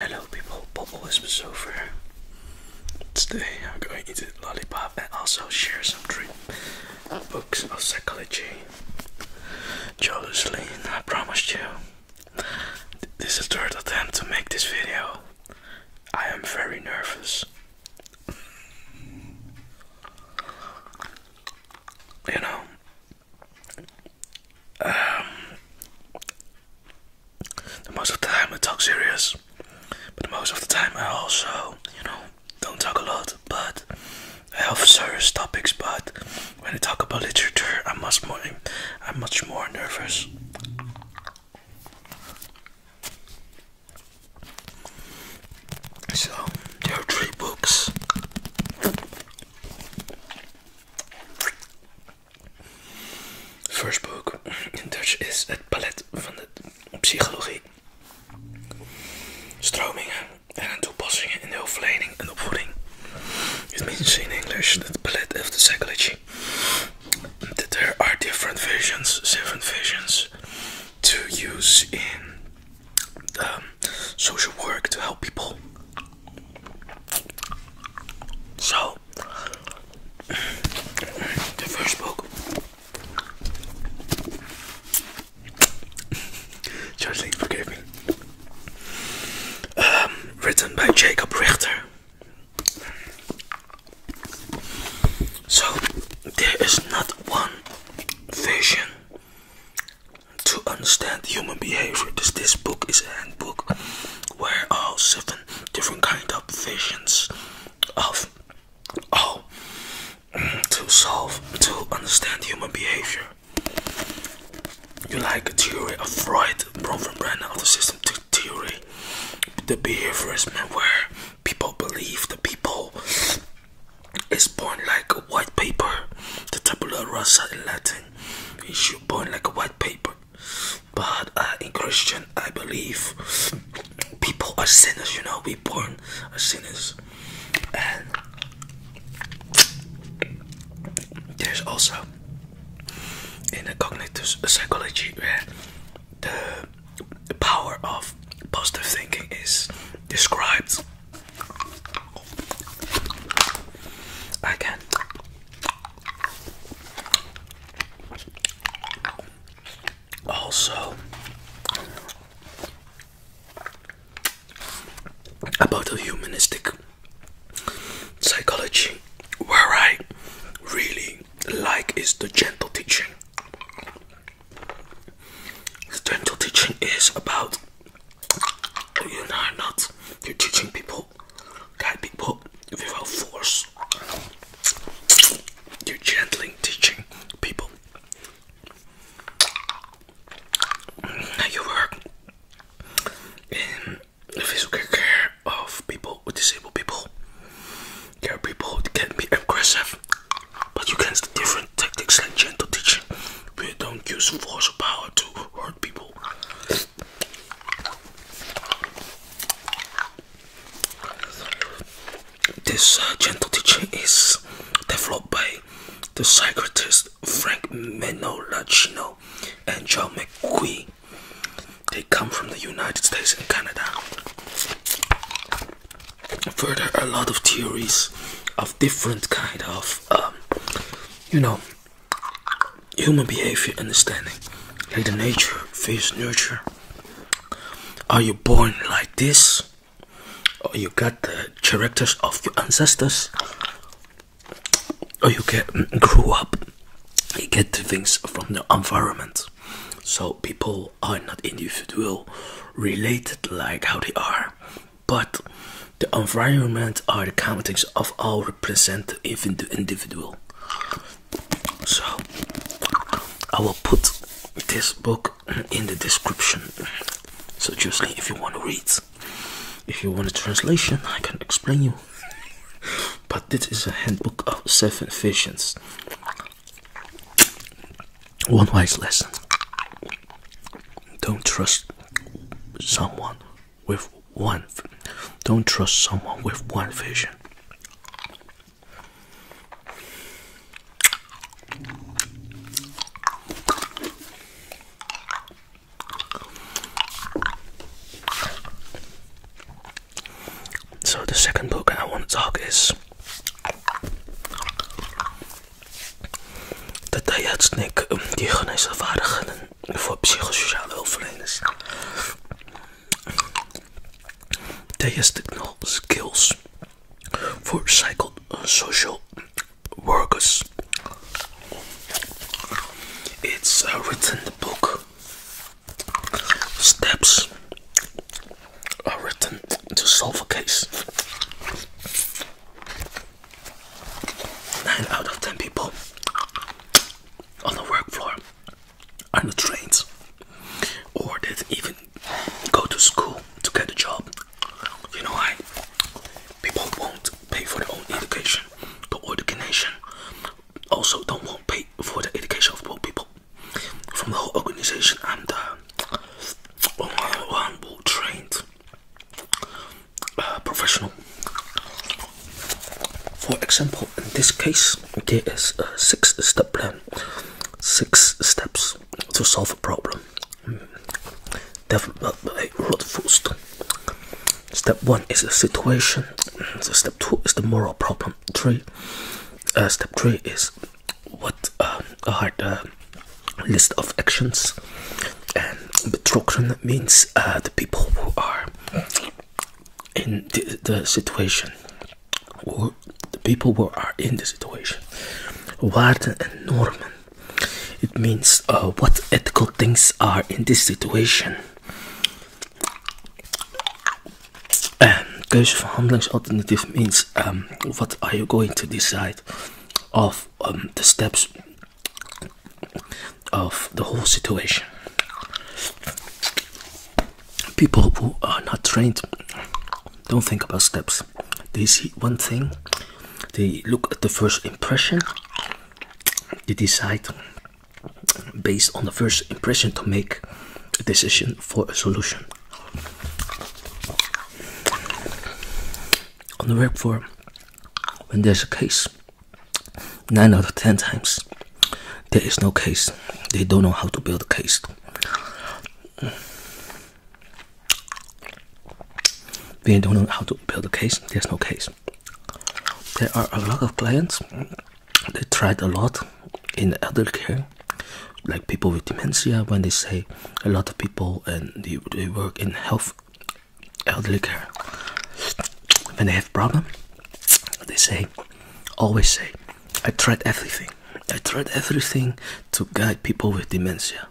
Hello people, Bubble Whispers over. Today I'm going to eat a lollipop and also share some three books of psychology. Joyously, I promised you. This is the third attempt to make this video. I am very nervous. You know, um, most of the time I talk serious, but most of the time I also, you know, don't talk a lot. But I have serious topics. But when I talk about literature, I'm much more, I'm much more nervous. So there are three books. First book in Dutch is het palet van de psychologie. Stromingen en toepassingen in de hulpverlening en opvoeding. It means in English the palette of the psychology. That there are different visions, seven visions to use in um, social work to help people. So, the first book. Charlie, forgive me. Um, written by Jacob Richter. So, there is not one vision to understand human behavior. This, this book is a handbook where all seven different kind of visions of how mm, to solve to understand human behavior. You like theory of Freud, Bronfman-Brenner of the system theory, the behaviorism where people believe the people is born like a white paper, the tabula rasa in Latin. You should born like a white paper but uh, in Christian, I believe people are sinners. You know, we born as sinners, and there's also in the cognitive psychology where the, the power of positive thinking is described. I can also, about the humanistic psychology, where I really like is the gentle teaching. The gentle teaching is about you know not you're teaching people people people without force. You're gently teaching people. You work in the physical care of people with disabled people. There are people that can be aggressive, but you can use different tactics like gentle teaching. We don't use force or power to hurt people. This uh, gentle teaching is developed by the psychiatrists Frank Menolacino and John McQueen. They come from the United States and Canada. Further, a lot of theories of different kind of, um, you know, Human behavior understanding, like the nature versus nurture. Are you born like this? Or you got the characters of your ancestors? Or you get mm, grew up, you get the things from the environment. So people are not individual related like how they are, but the environment are the countings of all represent even the individual. So I will put this book in the description. So Jocelyn, if you want to read, if you want a translation, I can explain you. But this is a handbook of seven visions. One wise lesson. Don't trust someone with one don't trust someone with one vision so the second book I want to talk is de Diatsnik um, die geneesvaardigheden voor psychosociale hulpverleners diastical skills for social workers. It's written in the book Steps are written to solve a case. 9 out of 10 people on the work floor are not trained, or that even go to school to get a job. You know why? People won't pay for their own education. The Oregon also don't want pay for the education of poor people. From the whole organization and uh, one trained professional for example, in this case, there is a six step plan, six steps to solve a problem. Develop a uh, road first. Step one is the situation. So step two is the moral problem. Three, uh, step three is what I uh, had the list of actions. And the betrokken means the people who are in the, situation or the people who are in the situation what and norman it means uh, what ethical things are in this situation um, and en keuzeverhandelingsalternatief means um, what are you going to decide of um, the steps of the whole situation people who are not trained don't think about steps. They see one thing, they look at the first impression, they decide based on the first impression to make a decision for a solution. On the work forum, when there's a case, nine out of ten times there is no case they don't know how to build a case they don't know how to build a case there's no case there are a lot of clients they tried a lot in elder care like people with dementia when they say a lot of people and they, they work in health elderly care when they have problem they say always say I tried everything. I tried everything to guide people with dementia.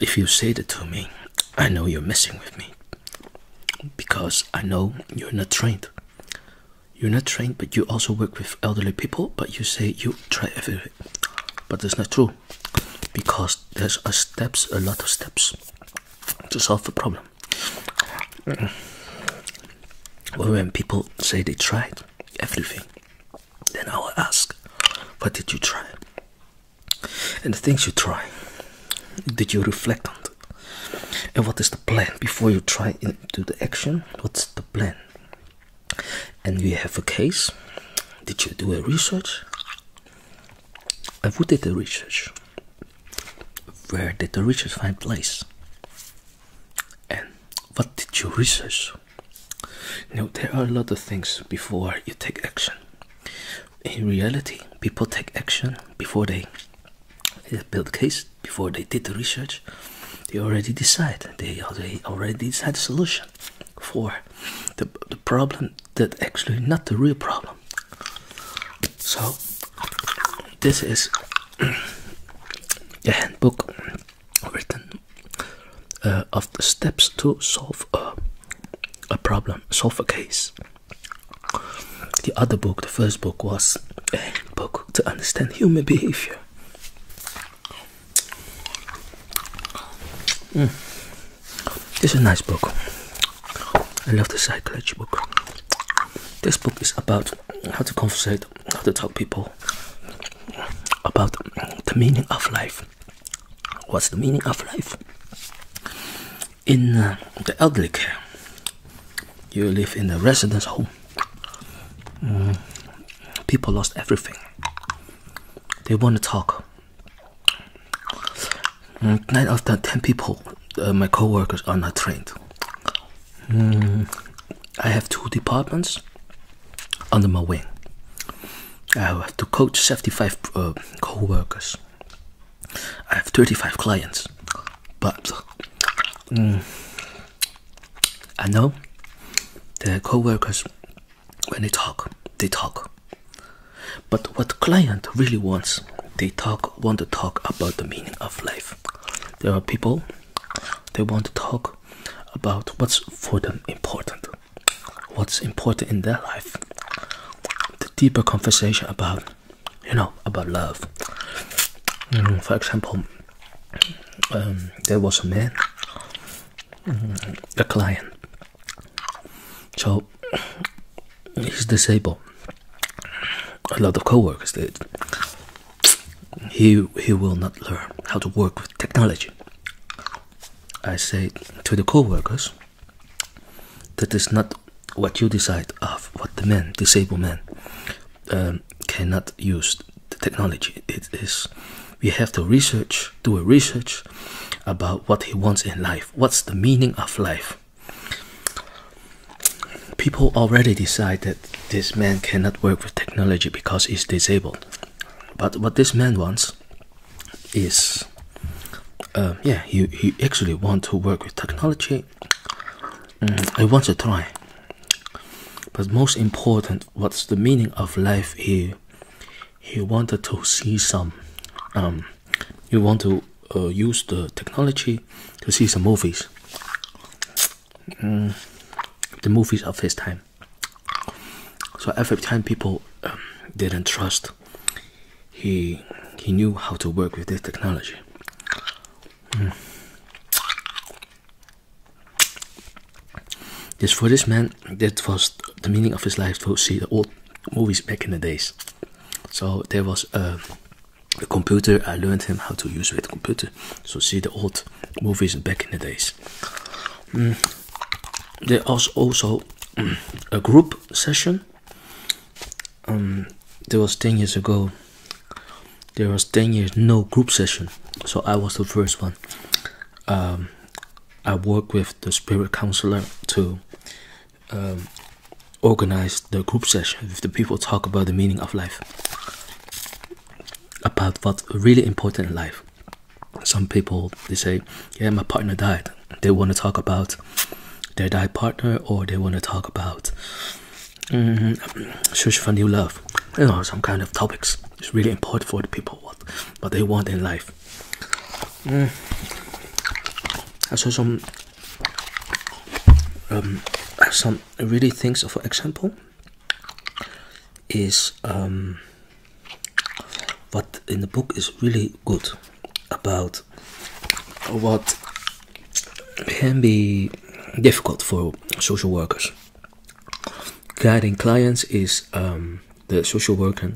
If you say that to me, I know you're messing with me because I know you're not trained. You're not trained, but you also work with elderly people, but you say you try everything. But it's not true because there's a steps, a lot of steps to solve the problem. Well, when people say they tried everything, then I will ask, What did you try? And the things you try, did you reflect on it? And what is the plan before you try into the action? What's the plan? And you have a case. Did you do a research? I would did the research. Where did the research find place? And what did you research? Now, there are a lot of things before you take action. In reality, people take action before they build a case, before they did the research. They already decide. They already, already decide a solution for the, the problem that actually not the real problem. So this is a handbook written uh, of the steps to solve a, a problem, solve a case. The other book, the first book, was a book to understand human behavior. Mm. This is a nice book. I love this psychology book. This book is about how to conversate, how to talk people about the meaning of life. What's the meaning of life? In uh, the elderly care, you live in a residence home. Mm. people lost everything. They want to talk. Mm, nine out of ten people, uh, my co-workers, are not trained. Mm. I have two departments under my wing. I have to coach 75 uh, co workers. I have 35 clients. But mm, I know the co workers, when they talk, they talk. But what client really wants, they talk want to talk about the meaning of life there are people they want to talk about what's for them important what's important in their life the deeper conversation about you know about love for example um, there was a man mm, a client so he's disabled a lot of co-workers did. He he will not learn how to work with technology. I say to the co-workers, that is not what you decide of what the men, disabled men, um, cannot use the technology. It is we have to research, do a research about what he wants in life. What's the meaning of life? People already decide that this man cannot work with technology because he's disabled. But what this man wants is, um, yeah, he, he actually wants to work with technology. Mm, I want to try. But most important, what's the meaning of life? He he wanted to see some. Um, he want to uh, use the technology to see some movies. Mm. the movies of his time. So every time people um, didn't trust, he he knew how to work with this technology. Mm. This for this man, that was the meaning of his life to see the old movies back in the days. So there was a the computer. I learned him how to use with computer. So see the old movies back in the days. Mm. There was also mm, a group session. Um, there was ten years ago. There was ten years no group session, so I was the first one. Um, I work with the spirit counselor to um, organize the group session with the people talk about the meaning of life about what really important in life some people they say yeah my partner died they want to talk about their died partner or they want to talk about search for new love you know some kind of topics it's really important for the people what but they want in life mm. i saw some um, some really things for example is um, what in the book is really good about what can be difficult for social workers guiding clients is um, the social worker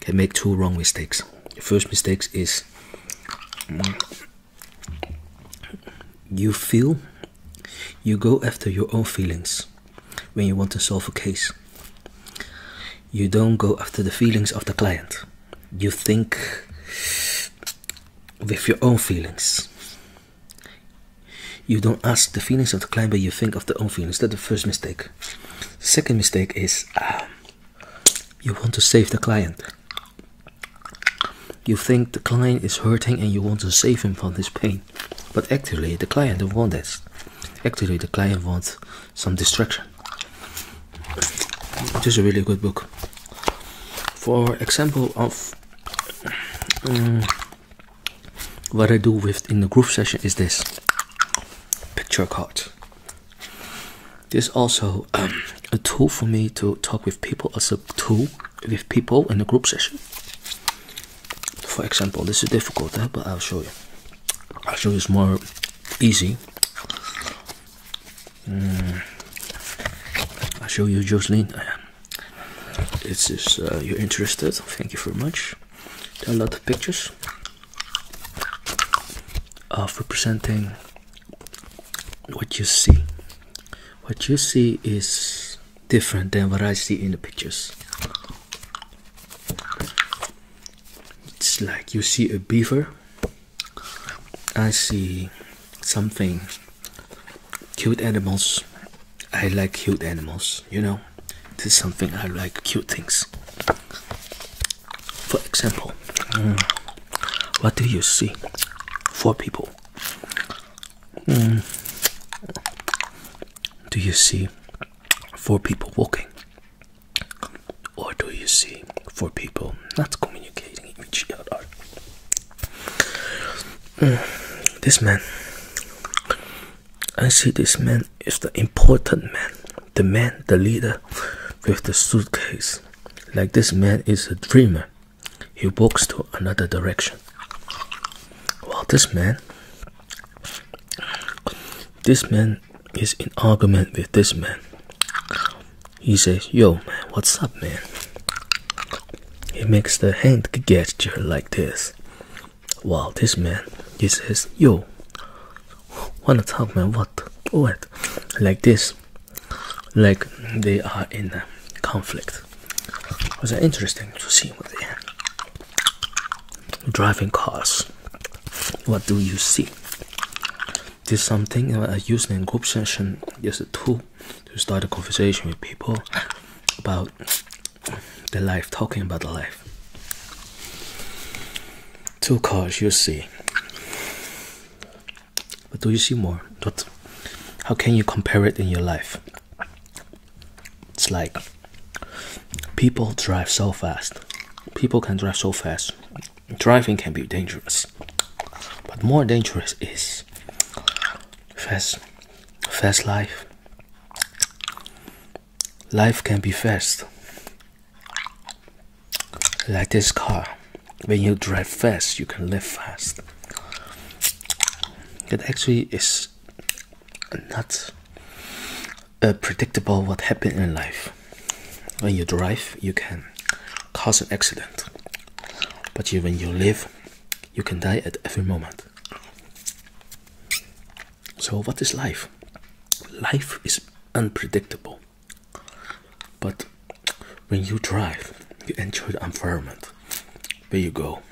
can make two wrong mistakes the first mistake is you feel you go after your own feelings when you want to solve a case. You don't go after the feelings of the client. You think with your own feelings. You don't ask the feelings of the client, but you think of the own feelings. That's the first mistake. Second mistake is um, you want to save the client. You think the client is hurting and you want to save him from this pain, but actually the client don't want that. Actually, the client wants some distraction. This is a really good book. For example of um, what I do with in the group session is this picture card. This is also um, a tool for me to talk with people as a tool with people in a group session. For example, this is difficult, eh, but I'll show you. I'll show you it's more easy. Mm. I'll show you, Joseline. It's just uh, you're interested. Thank you very much. There are a lot of pictures of representing what you see what you see is different than what i see in the pictures it's like you see a beaver i see something cute animals i like cute animals you know this is something i like cute things for example mm, what do you see four people Hmm. Do you see four people walking? Or do you see four people not communicating with each other? Hmm. This man, I see this man is the important man, the man, the leader with the suitcase. Like this man is a dreamer he walks to another direction. While this man, this man is in argument with this man. He says, "Yo, man, what's up, man?" He makes the hand gesture like this. While this man, he says, "Yo, wanna talk, man? What? What?" Like this like they are in conflict. It was interesting to see what they have. Driving cars. What do you see? This is something uh, I use in group session as a tool to start a conversation with people about the life, talking about the life. Two cars you see. But do you see more? What, how can you compare it in your life? It's like people drive so fast. People can drive so fast. Driving can be dangerous. But more dangerous is fast fast life. Life can be fast. Like this car when you drive fast, you can live fast. It actually is not uh, predictable what happened in life. When you drive, you can cause an accident, but you, when you live, you can die at every moment. So, what is life? Life is unpredictable, but when you drive, you enjoy the environment There you go.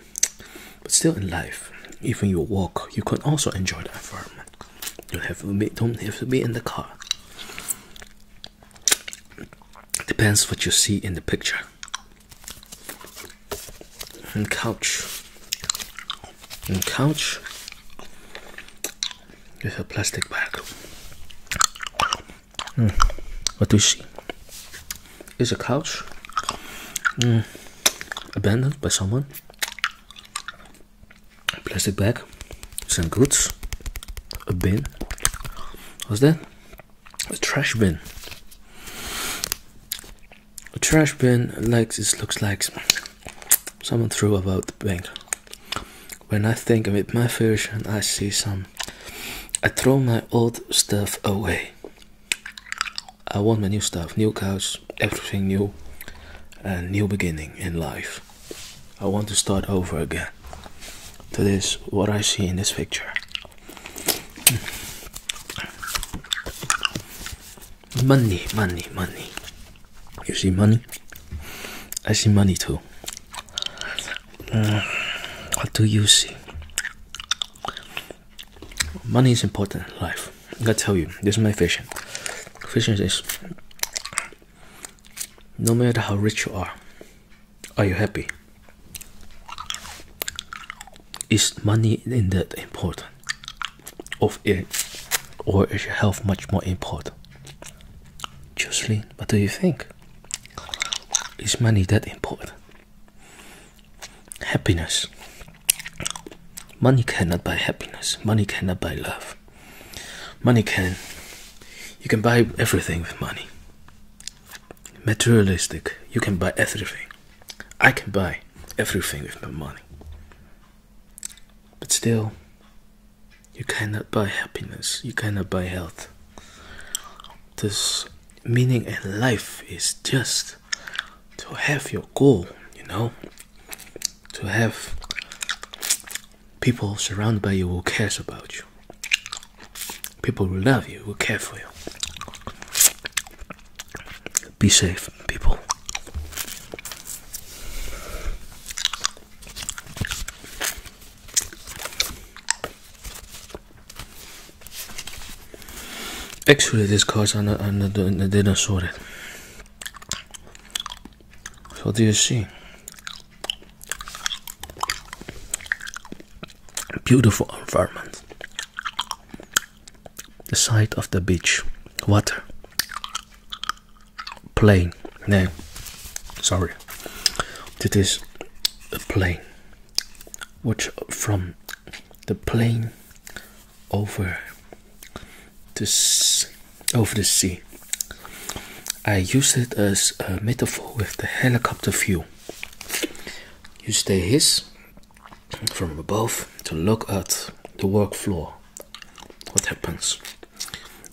But still in life, even you walk, you can also enjoy the environment. You have don't have to be in the car. Depends what you see in the picture. And couch. And couch. With a plastic bag. Mm. What do you see? Is a couch hmm, abandoned by someone? A plastic bag, some goods, a bin. What's that? A trash bin. A trash bin like this looks like someone threw about the bank. When I think of it, my version, I see some I throw my old stuff away. I want my new stuff, new couch, everything new, a new beginning in life. I want to start over again. That is what I see in this picture. Hmm. Money, money, money. You see money? I see money too. Uh, what do you see? Money is important in life. I gotta tell you, this is my vision. Vision is no matter how rich you are, are you happy? Is money in that important? Of it, or is your health much more important? Jocelyn, what do you think? Is money that important? Happiness. Money cannot buy happiness. Money cannot buy love. Money can. You can buy everything with money. Materialistic. You can buy everything. I can buy everything with my money. But still, you cannot buy happiness. You cannot buy health. This meaning and life is just to have your goal, you know, to have people surrounded by you who cares about you, people who love you, who care for you. Be safe, people. Actually, these cards are not, are not they're not sorted. So do you see? Beautiful environment. The side of the beach, water, plane. No, sorry. It is a plane which from the plane over this over the sea. I use it as a metaphor with the helicopter view. You stay his from above to look at the work floor. What happens?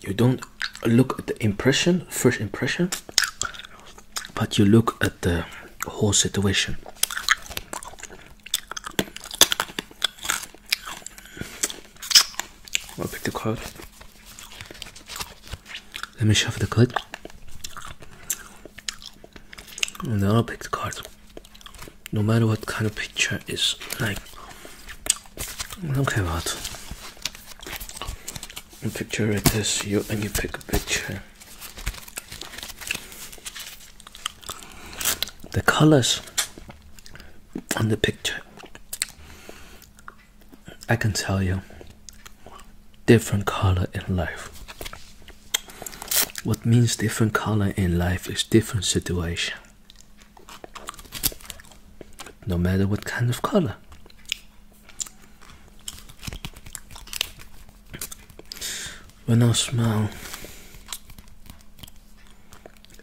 You don't look at the impression, first impression, but you look at the whole situation. I'll pick the card. Let me shuffle the card. then i pick the card. No matter what kind of picture is like I don't care about and picture it is you and you pick a picture the colors on the picture i can tell you different color in life what means different color in life is different situation no matter what kind of color when I smile,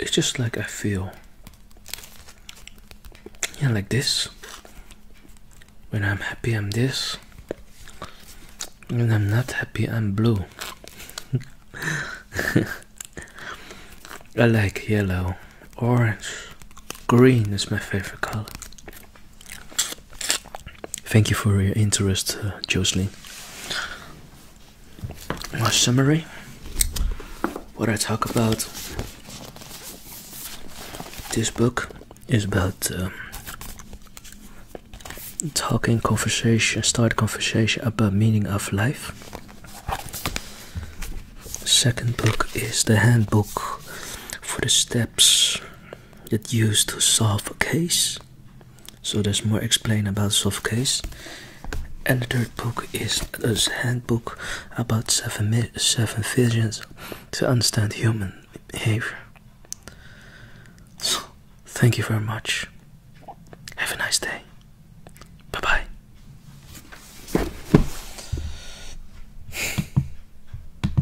it's just like I feel. Yeah, like this. When I'm happy, I'm this. When I'm not happy, I'm blue. I like yellow, orange, green is my favorite color. Thank you for your interest, uh, Jocelyn. My summary what I talk about this book is about um, talking conversation, start conversation about meaning of life. Second book is the handbook for the steps that used to solve a case. So there's more explain about solve case. And the third book is this handbook about seven seven visions to understand human behavior. So thank you very much. Have a nice day. Bye bye.